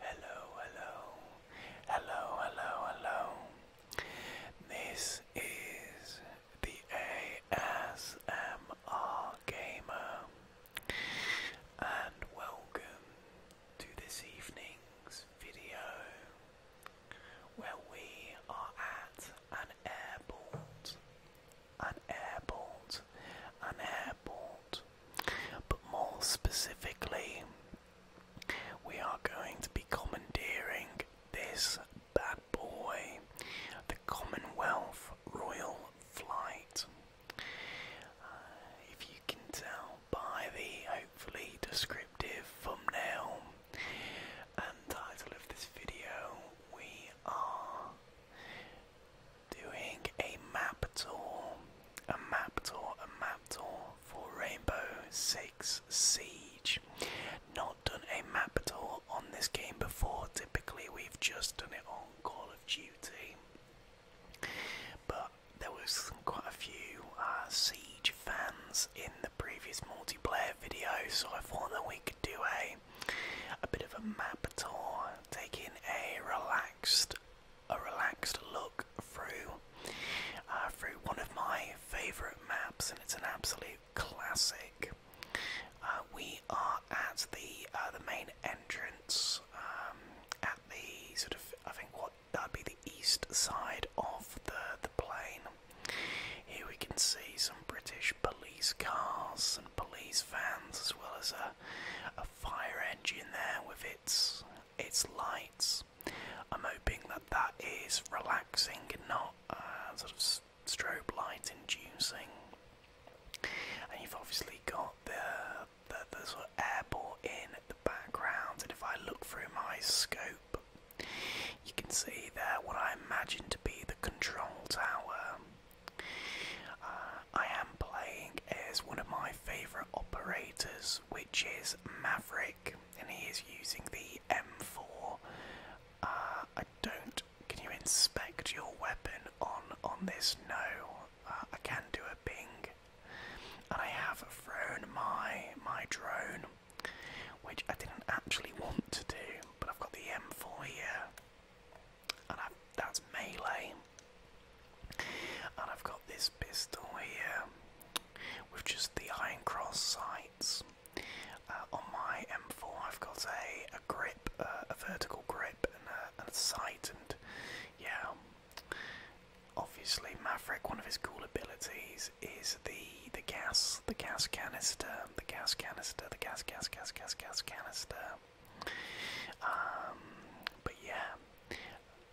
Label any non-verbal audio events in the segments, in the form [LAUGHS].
Hello, hello, hello, hello, hello. This is the ASMR Gamer, and welcome to this evening's video where we are at an airport. An airport airports airport. But more specifically, we are going to be commandeering this bad boy, the Commonwealth Royal Flight. Uh, if you can tell by the hopefully descriptive thumbnail and title of this video, we are doing a map tour, a map tour, a map tour for Rainbow Six Siege. Not done a map tour on this game before, typically we've just done it on Call of Duty. But there was quite a few uh, Siege fans in the previous multiplayer video, so I thought that we could do a a bit of a map tour, taking a relaxed a relaxed look through uh, through one of my favourite maps, and it's an absolute classic. Uh, we are at the uh, the main entrance um, at the sort of I think what that'd be the east side of the the plane. Here we can see some British police cars and police vans, as well as a a fire engine there with its its lights. I'm hoping that that is relaxing not uh, sort of strobe light inducing. And you've obviously got the the, the sort of airport in the background, and if I look through my scope, you can see there what I imagine to be the control tower. Uh, I am playing as one of my favourite operators, which is Maverick, and he is using the M4. Uh, I don't. Can you inspect your weapon on on this? No. Uh, I can do a ping, and I have thrown my my drone, which I didn't actually want to do, but I've got the M4 here and that's melee. And I've got this pistol here with just the iron cross sights. Uh, on my M4, I've got a, a grip, uh, a vertical grip, and a, sight, and yeah. Obviously, Maverick, one of his cool abilities is the the gas, the gas canister, the gas canister, the gas, gas, gas, gas, gas canister. Um, but yeah,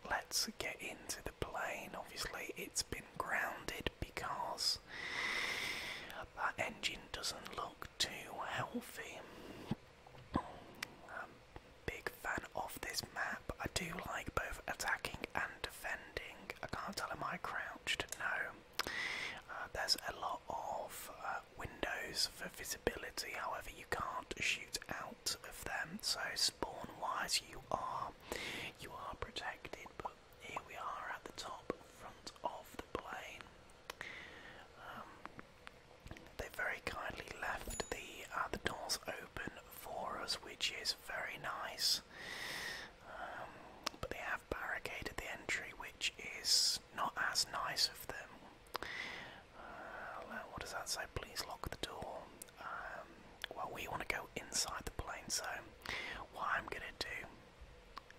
let's get into the plane. Obviously, it's been grounded because that engine doesn't look too healthy. i big fan of this map. I do like both attacking and defending. I can't tell am I crouched? No. Uh, there's a lot of uh, windows for visibility, however, you can't shoot out of them. So spawn wise you are you are protected, but here we are at the top front of the plane. Um, they very kindly left the uh, doors open for us, which is very nice. Um, but they have barricaded the entry, which is not as nice of them. Uh, what does that say? Please lock the door. Um, well, we want to go inside the plane, so what I'm going to do,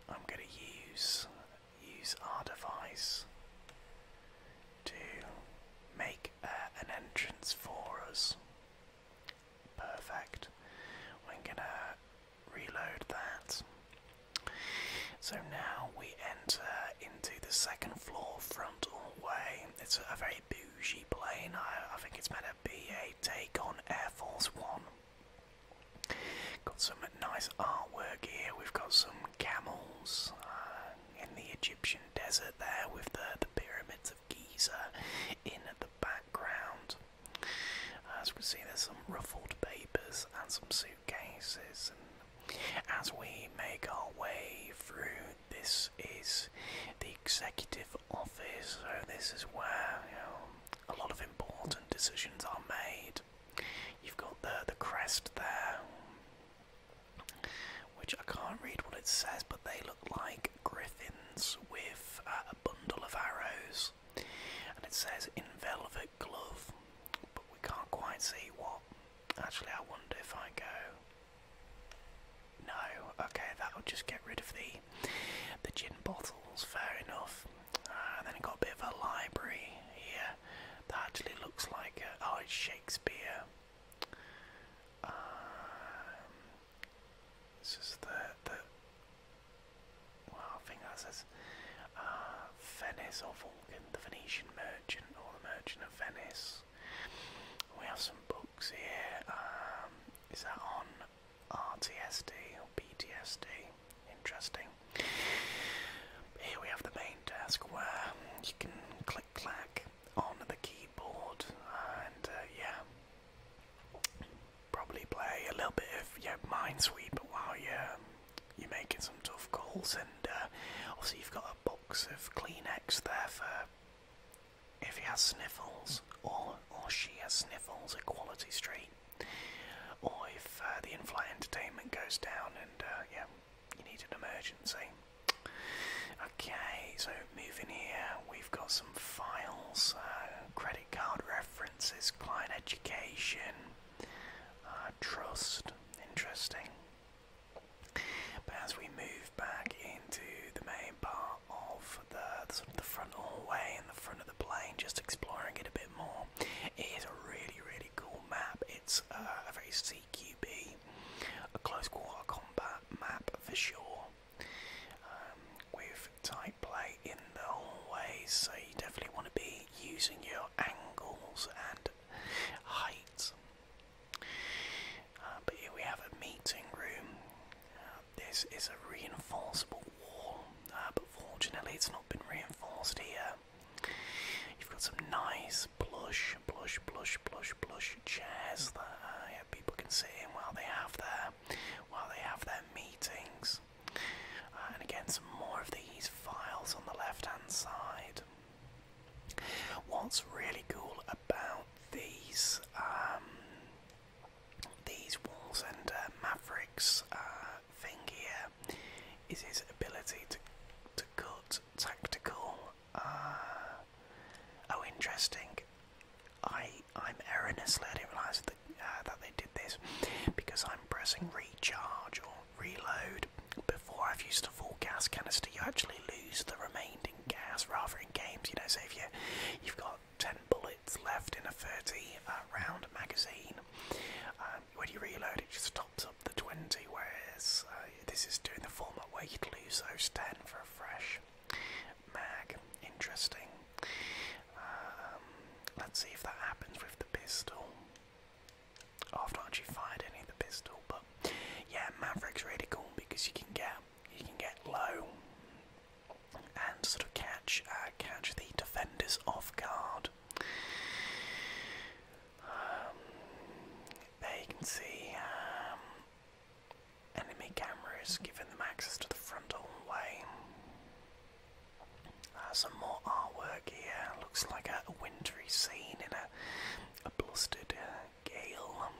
I'm going to use use our device to make uh, an entrance for us. Perfect. We're going to reload that. So now we enter into the second floor frontal way. It's a very bougie plane. I, think it's meant to be a take on Air Force One. Got some nice artwork here. We've got some camels uh, in the Egyptian desert there with the, the pyramids of Giza in the background. As we can see, there's some ruffled papers and some suitcases cases. And as we make our way through, this is the executive office, so this is where you know, a lot of important decisions are made. You've got the the crest there, which I can't read what it says, but they look like griffins with uh, a bundle of arrows, and it says in velvet glove, but we can't quite see what. Actually, I wonder if I go. No, okay, that'll just get rid of the the gin bottles. Fair enough. and ah, then it got a bit of a library here. That actually looks like a, oh, it's Shakespeare. Um, this is the the. Well, I think that says uh, Venice or the Venetian Merchant, or the Merchant of Venice. We have some books here. Um, that on RTSD or PTSD? Interesting. Here we have the main task where you can click clack on the keyboard and uh, yeah, probably play a little bit of yeah, Minesweeper while you're you're making some tough calls, and uh, obviously you've got a box of Kleenex there for if he has sniffles or or she has sniffles at Quality Street, or if uh, the in-flight entertainment goes down, and uh, yeah, you need an emergency. Okay, so moving here, we've got some files, uh, credit card references, client education, trust, interesting. But as we move back into the main part of the, sort of the front hallway and the front of the plane, just exploring it a bit more, it is a really really cool map. It's uh, a very CQB, a close quarter combat map for sure. Um, with tight play in the hallways, so you definitely want to be using your angles and height. Uh, but here we have a meeting room. Uh, this is a reinforceable wall, uh, but fortunately it's not been reinforced here. You've got some nice plush, plush, plush, plush, plush chairs that people can sit in while they have their while they have their meetings. and again, some more of these files on the left-hand side. What's really cool about these um, these Walls and uh, Mavericks uh, thing here is his ability to to cut tactical. Uh, oh, interesting. I I'm erroneously I didn't realise that that they did this because I'm pressing recharge or reload before I've used a full gas canister, you actually lose the remaining gas rather in games, you know, so if you, you've got 10 bullets left in a 30 uh, round magazine, um, when you reload it just tops up the 20, whereas uh, this is doing the format where you lose those 10 for a fresh mag. Interesting. Um, let's see if that happens with the pistol. After have not fired any of the pistol, but yeah, Maverick's really cool because you can get you can get low and sort of catch uh, catch the defenders off guard. Um, there you can see um, enemy cameras giving them access to the frontal way. Uh, some more artwork here. Looks like a, wintry scene in it a blustered uh, gale.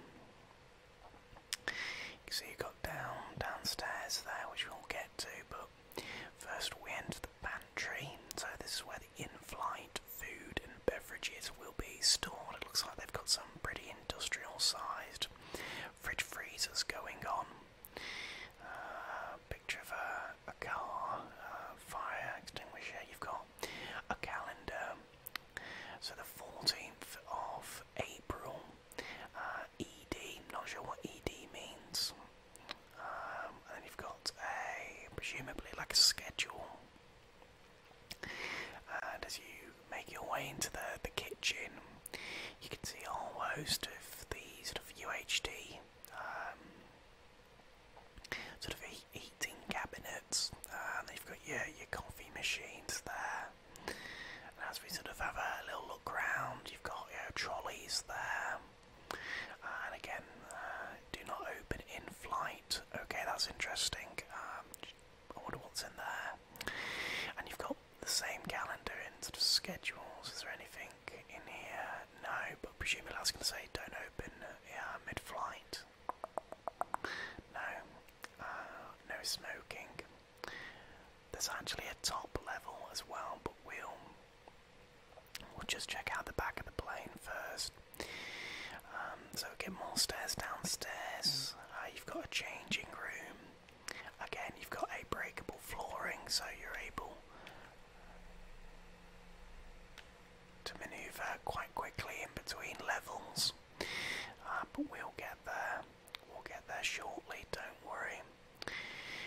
So you got down downstairs there, which we'll get to, but first we enter the pantry. So this is where the in-flight food and beverages will be stored. It looks like they've got some pretty industrial-sized fridge freezers going on. Uh, picture of a, a car, fire extinguisher, you've got a calendar. So the 14th of April, uh, ED, not sure what ED means. Um, and you've got a, presumably like a schedule. And as you make your way into the, the kitchen, you can see a host of the sort of UHD um, sort of eating cabinets, and they've got your, your coffee machines there. And as we sort of have a little look round, you've got your trolleys there. And again, uh, do not open in flight. Okay, that's interesting. Um, what's in there. And you've got the same calendar in sort of schedules. Is there anything in here? No, but presumably I was going to say don't open yeah, mid-flight. No, uh, no smoking. There's actually a top level as well, but we'll we'll just check out the back of the plane first. Um, so get more stairs downstairs. Uh, you've got a changing room. Again, you've got a breakable flooring, so you're able to maneuver quite quickly in between levels. Uh, but we'll get there. We'll get there shortly, don't worry.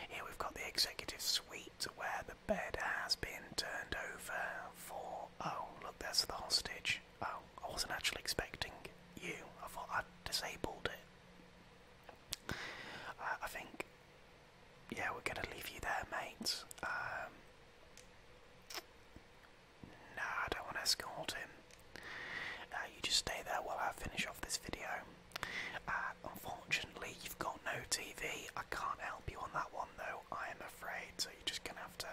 Here we've got the executive suite where the bed has been turned over for. Oh, look, there's the hostage. Oh, I wasn't actually expecting you. I thought i disabled it. Uh, I think yeah, we're gonna leave you there, mates. Um, no, I don't want to escort him. you just stay there while I finish off this video. Uh, unfortunately, you've got no TV. I can't help you on that one, though. I am afraid, so you're just gonna have to.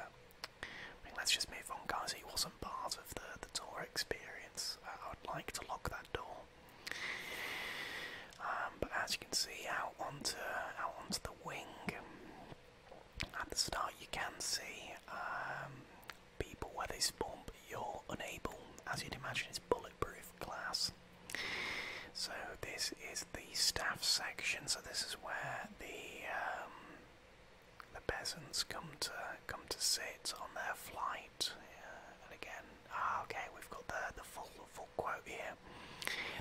let's just move on, guys. He wasn't part of the the tour experience. Uh, I would like to lock that door. Um, but as you can see, out onto out onto the wing. At the start, you can see um, people where they spawn, but you're unable, as you'd imagine, it's bulletproof glass. So this is the staff section. So this is where the um, the peasants come to come to sit on their flight, again, Ah, okay, we've got the the full full quote here.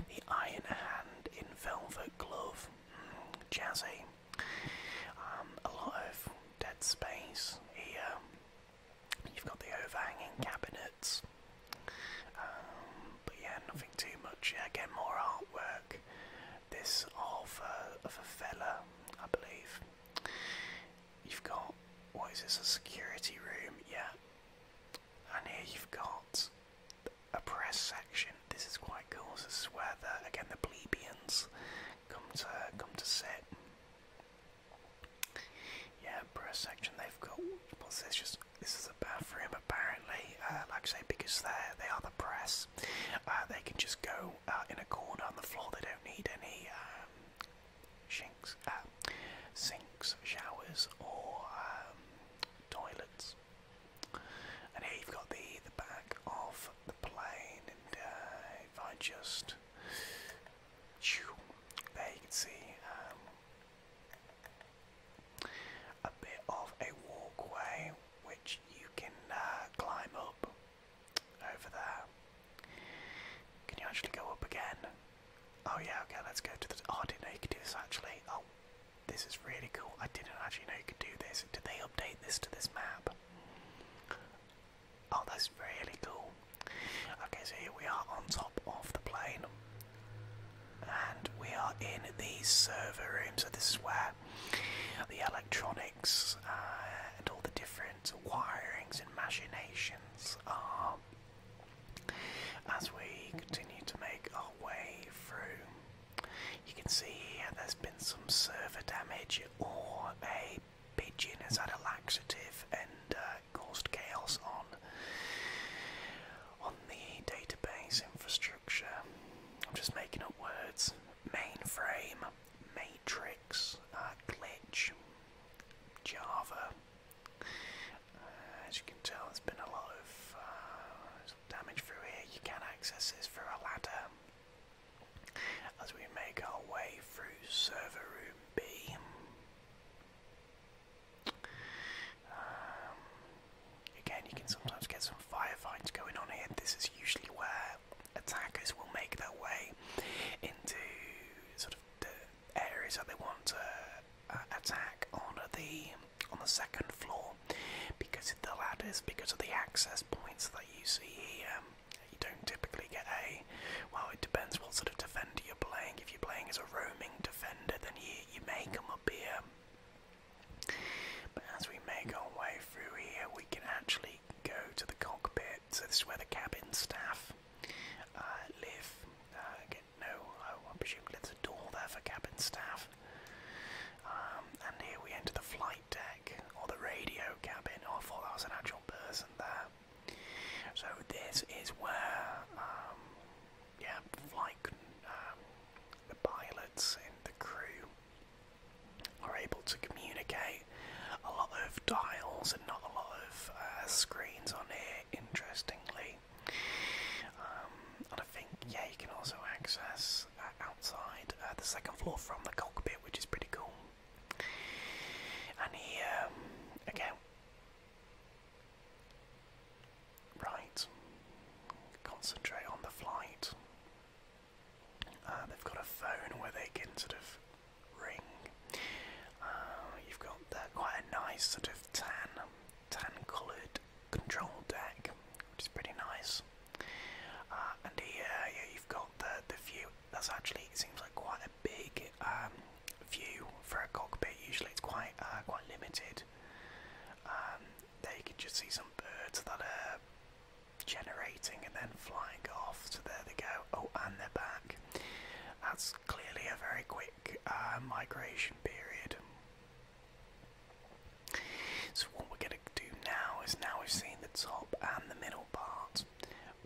The iron hand in velvet glove, mm, jazzy. Um, a lot of dead space here. You've got the overhanging cabinets, um, but yeah, nothing too much. Again, more artwork. This of a, uh, of a fella, I believe. You've got what is this? A security room? Yeah. And here you've got a press section. This is quite cool. This is where the again the plebeians come to come to sit. Yeah, press section. They've got what's this? Just this is a bathroom apparently. Uh, like I say, because they they are the press, uh, they can just go uh, in a corner on the floor. They don't need any um, shinks, sinks, showers, or um, toilets. And here you've got the the back of the plane, and uh, if I just there you can see um, a bit of a walkway which you can uh, climb up over there. Can you actually go up again? Oh yeah, okay, let's go to the... Oh, I didn't know you could do this actually. Oh, this is really cool. I didn't actually know you could do this. Did they update this to this map? Oh, that's really cool. Okay, so here we are on top of the plane. And we are in these server rooms. so this is where the electronics uh, and all the different wirings and machinations are as we continue to make our way through, you can see here there's been some server damage, or a pigeon has had a laxative and uh, caused chaos on on the database infrastructure. I'm just making up words: mainframe, matrix, uh, glitch, Java. Uh, as you can tell, there's been a lot of uh, damage through here. You can access this through a ladder as we make our way through server room B. Um, again, you can sometimes get some firefights going on here. This is usually where attackers will make their way into sort of the areas that they want to uh, attack on the on the second floor because of the ladders, because of the access points that you see here. Um, you don't typically get a. Well, it depends what sort of defender you're playing. If you're playing as a roaming defender, then you you may come up here. But as we make our way through here, we can actually go to the cockpit. So this is where the cabin staff uh, live. Uh, no, I presume there's a door there for cabin staff. Um, and here we enter the flight deck, or the radio cabin. Oh, I thought that was an actual person there. So this is where, um, yeah, flight, um, the pilots and the crew are able to communicate. A lot of dials and not a lot of uh, screens on here, interestingly. Um, and I think, yeah, you can also access uh, outside uh, the second floor from the cockpit, which is pretty cool. And he, um, again, right, concentrate on the flight. Uh, they've got a phone where they can sort of ring. you've got quite a nice sort of tan tan-coloured control deck, which is pretty nice. Uh, and here, uh, you've got the the view. That's actually seems like quite a big um, view for a cockpit. Usually, it's quite uh, quite limited. Um, there you can just see some birds that are generating and then flying off. So there they go. Oh, and they're back. That's clearly a very quick uh, migration period. So what we're going to do now is now we've seen the top and the middle part,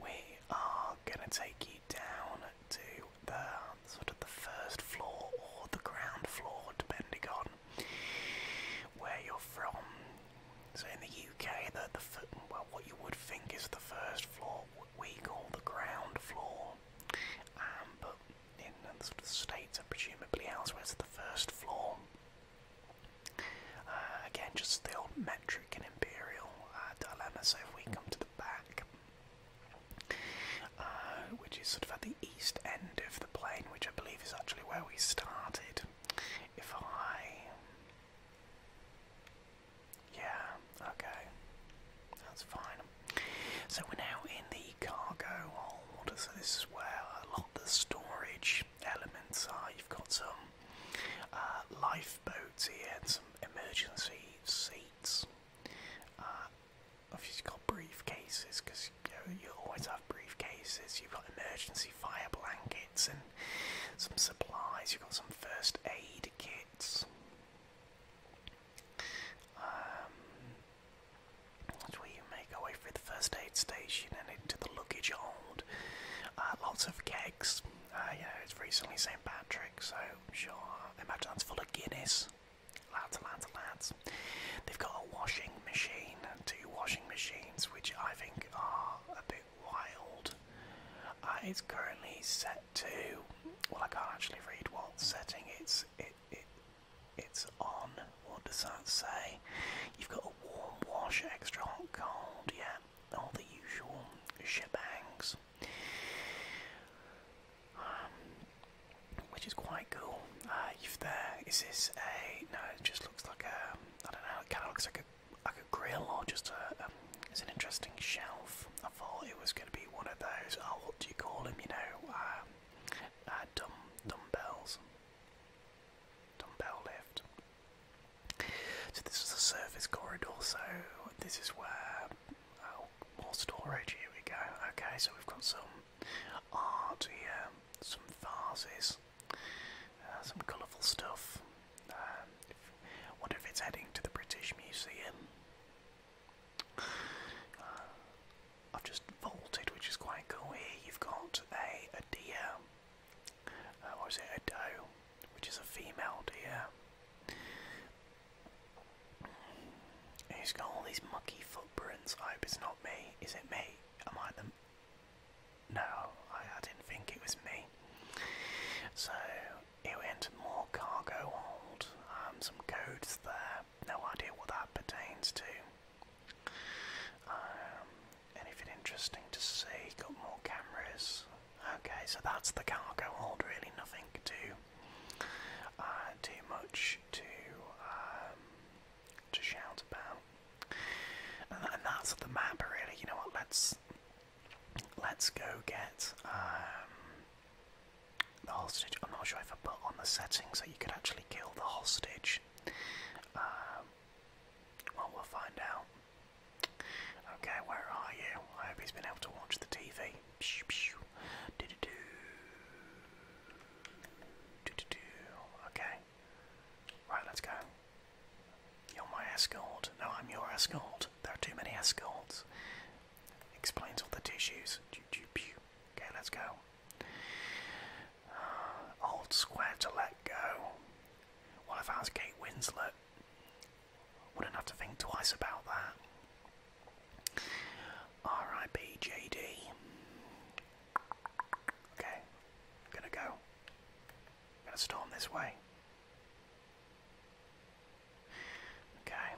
we are going to take you down to the sort of the first floor or the ground floor, depending on where you're from. So in the UK, the, the well, what you would think is the first floor we call the ground floor, um, but in sort of states and presumably elsewhere, it's the first floor. Uh, again, just the old metric and imperial uh, dilemma. So if we come to the back, uh, which is sort of at the east end of the plane, which I believe is actually where we started. If I yeah, okay. That's fine. So we're now in the cargo hold, so this is where a lot of the storage elements are. You've got some uh, lifeboats here and some emergency seats. obviously uh, you've got briefcases, because you always have briefcases. You've got emergency fire blankets and some supplies. You've got some first aid kits. Um, that's make our way through the first aid station and into the luggage hold. Uh, lots of kegs. Uh, you know, it's recently St. Patrick, so I'm sure. I imagine that's full of Guinness. Lads, lads, lads. They've got a washing machine, two washing machines, which I think are a bit wild. Uh, it's currently set set well I can't actually read what setting it's it, it it's on. What does that say? You've got a warm wash, extra hot, cold, yeah, all the usual shebangs. Um, which is quite cool. Uh, you've there. Is this a? No, it just looks like a. I don't know. It kind of looks like a like a grill or just a. Um, it's an interesting shelf. I thought it was going to be one of those. Oh, what do you call them? You know, uh, uh, dumb dumbbells, dumbbell lift. So this is a surface corridor. So this is where oh, more storage. Here we go. Okay, so we've got some art here, some vases, uh, some colourful stuff. Um, if, wonder if it's heading to the British Museum. I've just vaulted, which is quite cool. Here you've got a, a deer, uh, is it a doe, which is a female deer. He's got all these mucky footprints. I hope it's not me. Is it me? Am I the. No, I didn't think it was me. So, it entered more cargo hold, um, some codes there, no idea what that pertains to. Um, anything interesting to see? Got more cameras. Okay, so that's the cargo hold, really nothing to uh, much to um, to shout about. And, that's the map, really. You know what? Let's let's go get the hostage. I'm not sure if I put on the settings that you could actually kill the hostage. Um, well, we'll find out. Okay, where are you? I hope he's been able to watch the TV. Pew, pew. Do, do, do. Do, do, do. Okay. Right, let's go. You're my escort. No, I'm your escort. There are too many escorts. Explains all the tissues. Okay, let's go. Uh, old square to let go. Well, if I was Kate Winslet, wouldn't have to think twice about that. R.I.P. J.D. Okay, I'm gonna go. I'm gonna storm this way. Okay.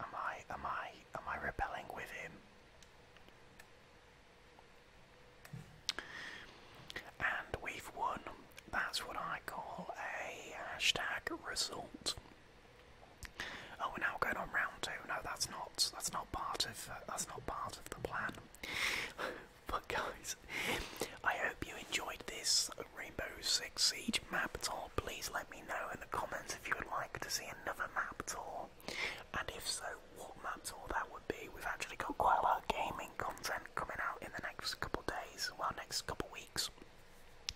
Am I, am I, am I rebelling with him? And we've won. That's what I call a hashtag result. Oh, we're now going on round two. No, that's not. That's not part of. Uh, that's not part of the plan. [LAUGHS] But guys, I hope you enjoyed this Rainbow Six Siege map tour. Please let me know in the comments if you would like to see another map tour, and if so, what map tour that would be. We've actually got quite a lot of gaming content coming out in the next couple of days, well, next couple weeks.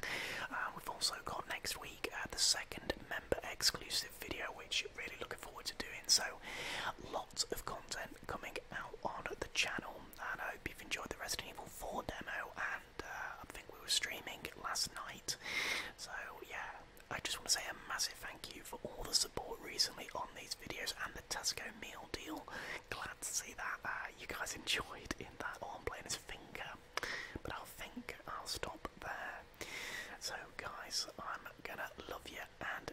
Uh, we've also got next week uh, the second member exclusive video, which I'm really looking forward to doing. So, lots of content coming back on the channel, and I hope you've enjoyed the Resident Evil 4 demo, and uh, I think we were streaming last night, so yeah, I just want to say a massive thank you for all the support recently on these videos, and the Tesco meal deal, glad to see that uh, you guys [LAUGHS] enjoyed in that, oh I'm playing his finger, but I'll think I'll stop there, so guys, I'm gonna love you, and